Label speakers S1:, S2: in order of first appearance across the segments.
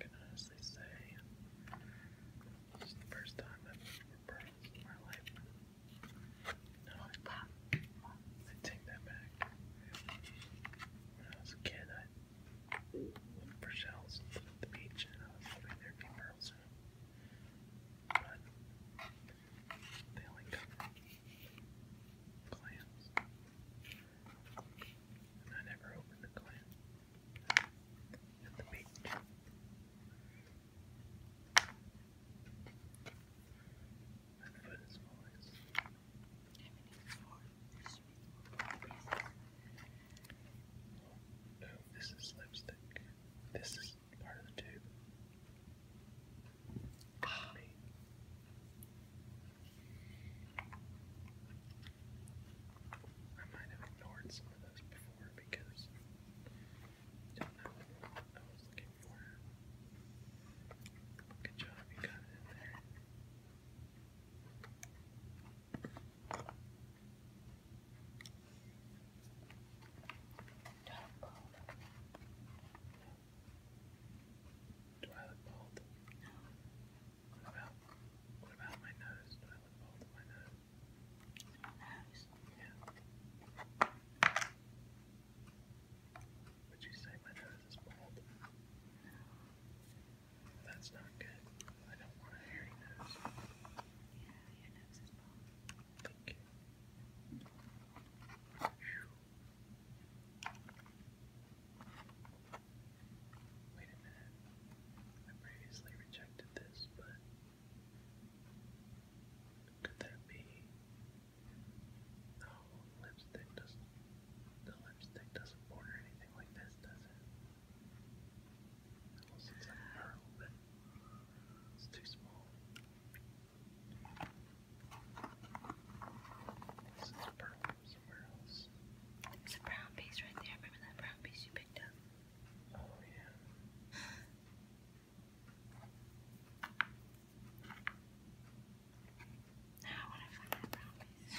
S1: I can honestly say this is the first time I've ever pearls in my life. No, I, I take that back. When I was a kid, I looked for shells at the beach, and I was hoping there'd be pearls But they only come from clams and I never opened the clamp at the beach. My foot is moist. Oh, this is lipstick. This is part of the tube. Ah. I might have ignored some of those before because I don't know what I was looking for. Good job, you got it there. Do I look what about what about my nose? What about both my nose? Yeah. Would you say my nose is bald? No. That's not good. I don't want a hairy nose. Yeah, your nose is bald. Thank you. Wait a minute. I previously rejected this, but could that be? No, lipstick doesn't. The lipstick doesn't border anything like this, does it? It looks like pearl, but it's too small. This is pearl from There's a brown piece right there. Remember that brown piece you picked up? Oh, yeah. now I want to find that brown piece.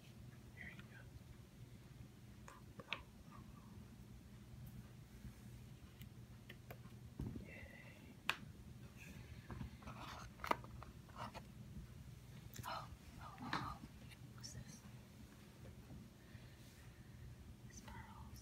S1: Here you go. Yay. Oh, oh, oh. What's this? It's pearls.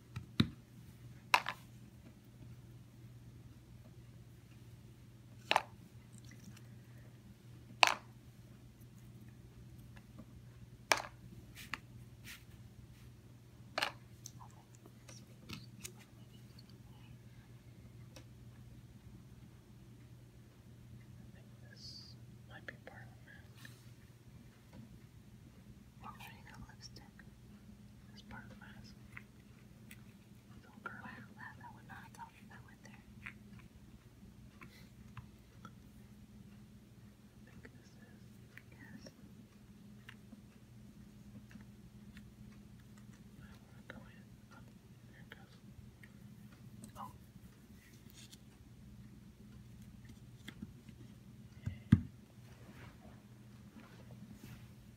S1: This might be part of the mask. Or maybe the lipstick is part of the mask. Don't girl out loud. I would not have talked about with her. I think this is yes. I wanna go in. Oh, there it goes. Oh. Okay.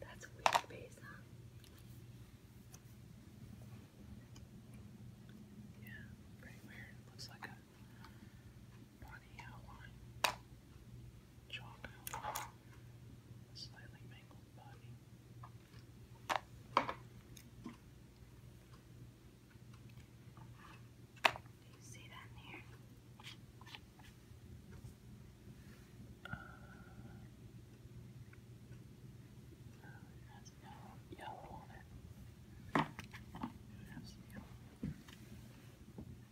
S1: That's a weird base, Yeah, pretty weird. Looks like a body outline. Chalk outline. slightly mangled body. Do you see that in here? it has no yellow on it. It has yellow. Maybe that's the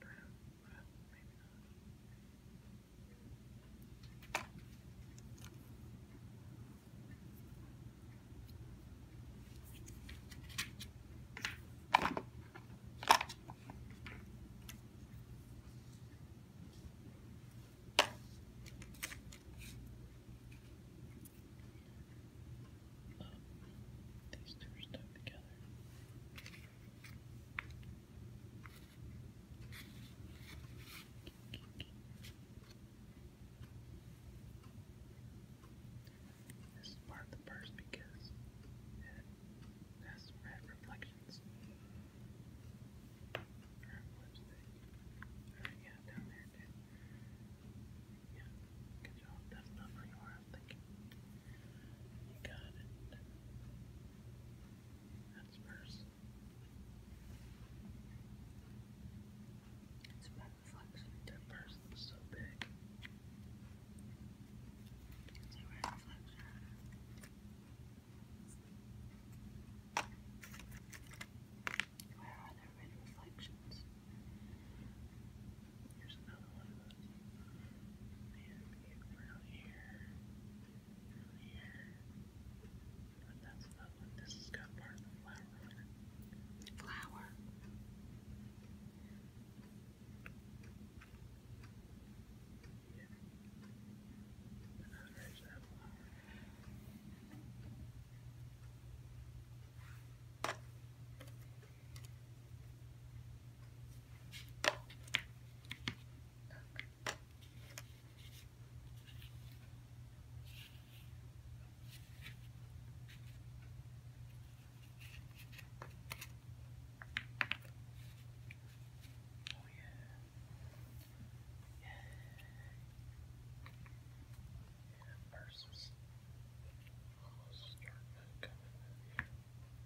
S1: brown. Well, maybe these two are stuck together. This is part of the purse because it has red reflections. Or yeah, down there too. Yeah, good job. That's not where I was you got it. That's first. It's my reflection. That person's so big. Where are the red reflections? Here's another one of those. And around here, around here. But that's another one. This has got part of the flower on it. Flower. Yeah. And now there's that flower. Oh yeah. Yeah. first almost starting to come in.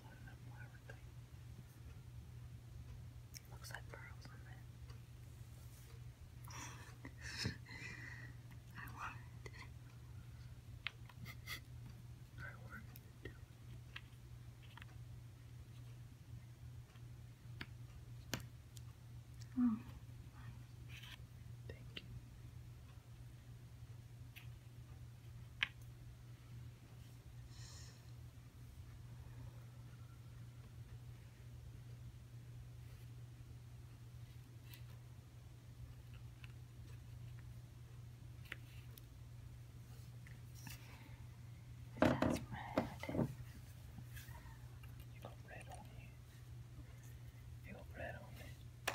S1: floating up on everything. Looks like pearls on it. I wanted it. I wanted it too. Oh, thank you. That's red. You got red on you. You got red on it.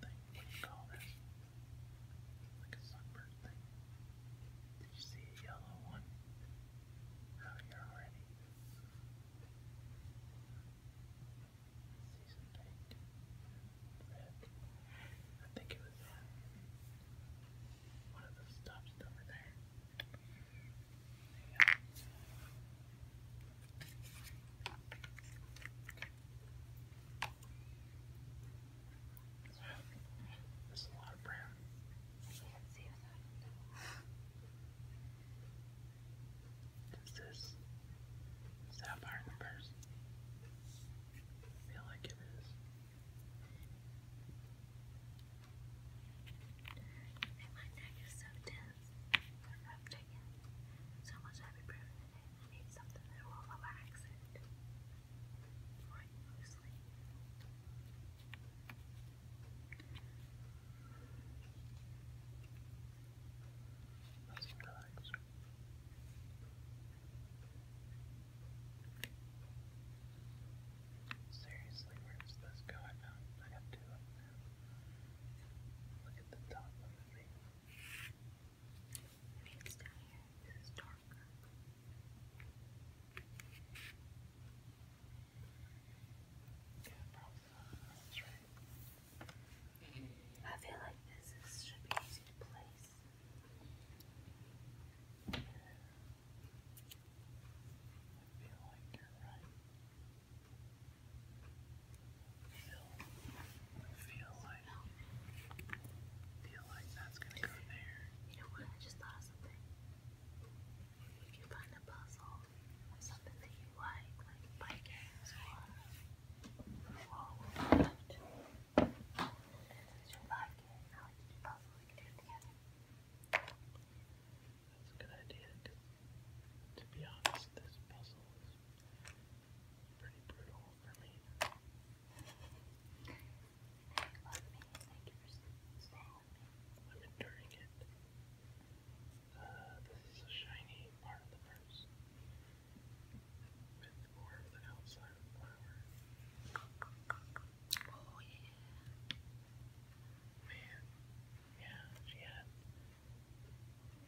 S1: thing. What do you call this? Like a sunbird thing. Did you see a yellow one? Oh, you already. Season baked. Red. I think it was that. One of those stops over there. There's a lot of brown. Is this sapphire the purse? feel like it is. And my neck is so dense. So much happy breath. I need something that will relax it before I go to sleep. Nothing relaxed. Seriously, where's this go? I I got two of them. Look at the top of the Maybe I feel like this is, should be easy place. I feel like you're right. I feel like, feel like that's gonna go there. You know what? I just thought of something. If you find a puzzle something that you like, like bike games or wall left, and since you like it, now we puzzles we can do together. That's a good idea. To be honest, this puzzle Pretty brutal for me. love me. Thank you I'm enduring it. Uh, this is a shiny part of the purse. With more of outside Oh, yeah. Man, yeah, she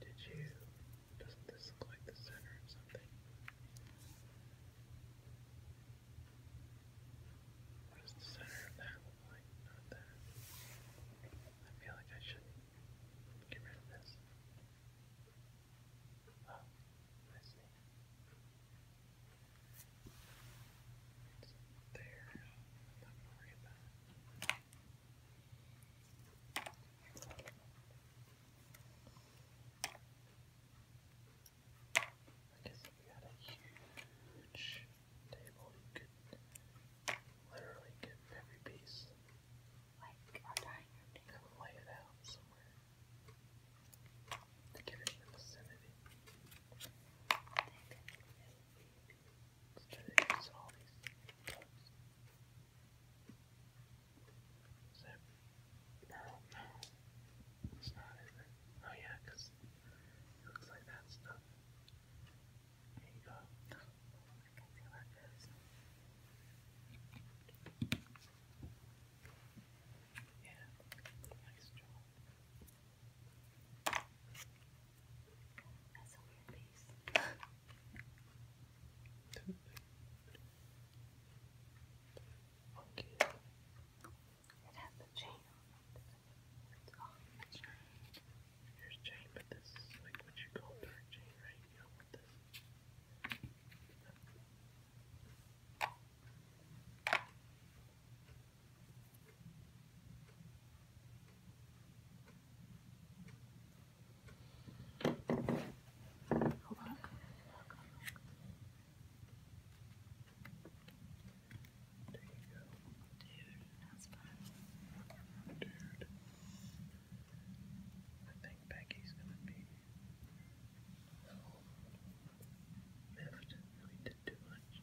S1: Did you? Doesn't this look like the center of something? What the center of that look Not that. I feel like I should get rid of this. Oh, I see. It's there. Not worry about it. if you had a huge table, you could literally get every piece like our dining room table. lay it out somewhere to get it in the vicinity. There's all these bugs. Is that Oh yeah, because it looks like that stuff. There you go. Yeah, that's a weird piece. okay. It has a chain on It's on the chain. but this like what you call dark chain, right? You don't this that's fun. Dude. I think Becky's gonna be so miffed. did too much.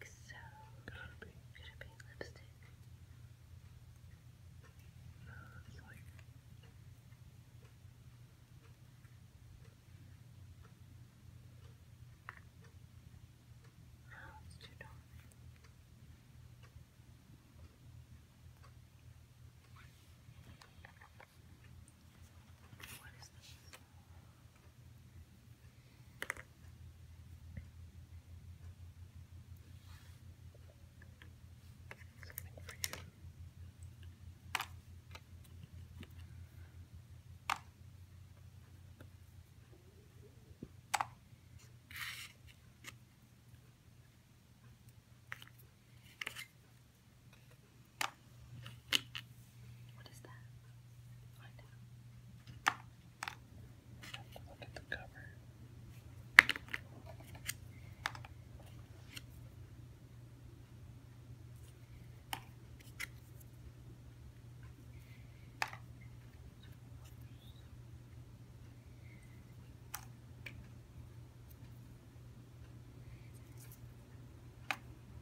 S1: think so. be? Could it be lipstick? No, it's too dark. What is this? Something for you. What is that? Find out. look at the cover.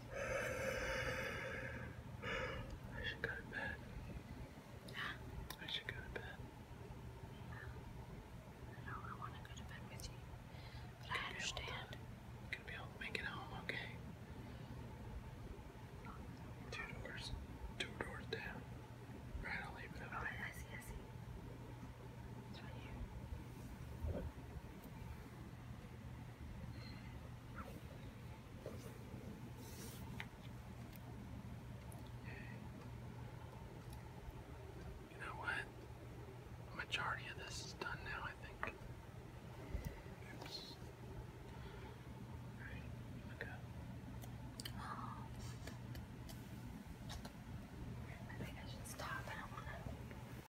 S1: I should go to bed. Huh? I should go to bed. I know I want to go to bed with you, but I understand. gonna be able to make it home, okay? Two doors, two doors down. Right, I'll leave it over oh, I see, I see. It's right you know what? majority of this is done now, I think. Oops. Alright, look up. I think I should stop. I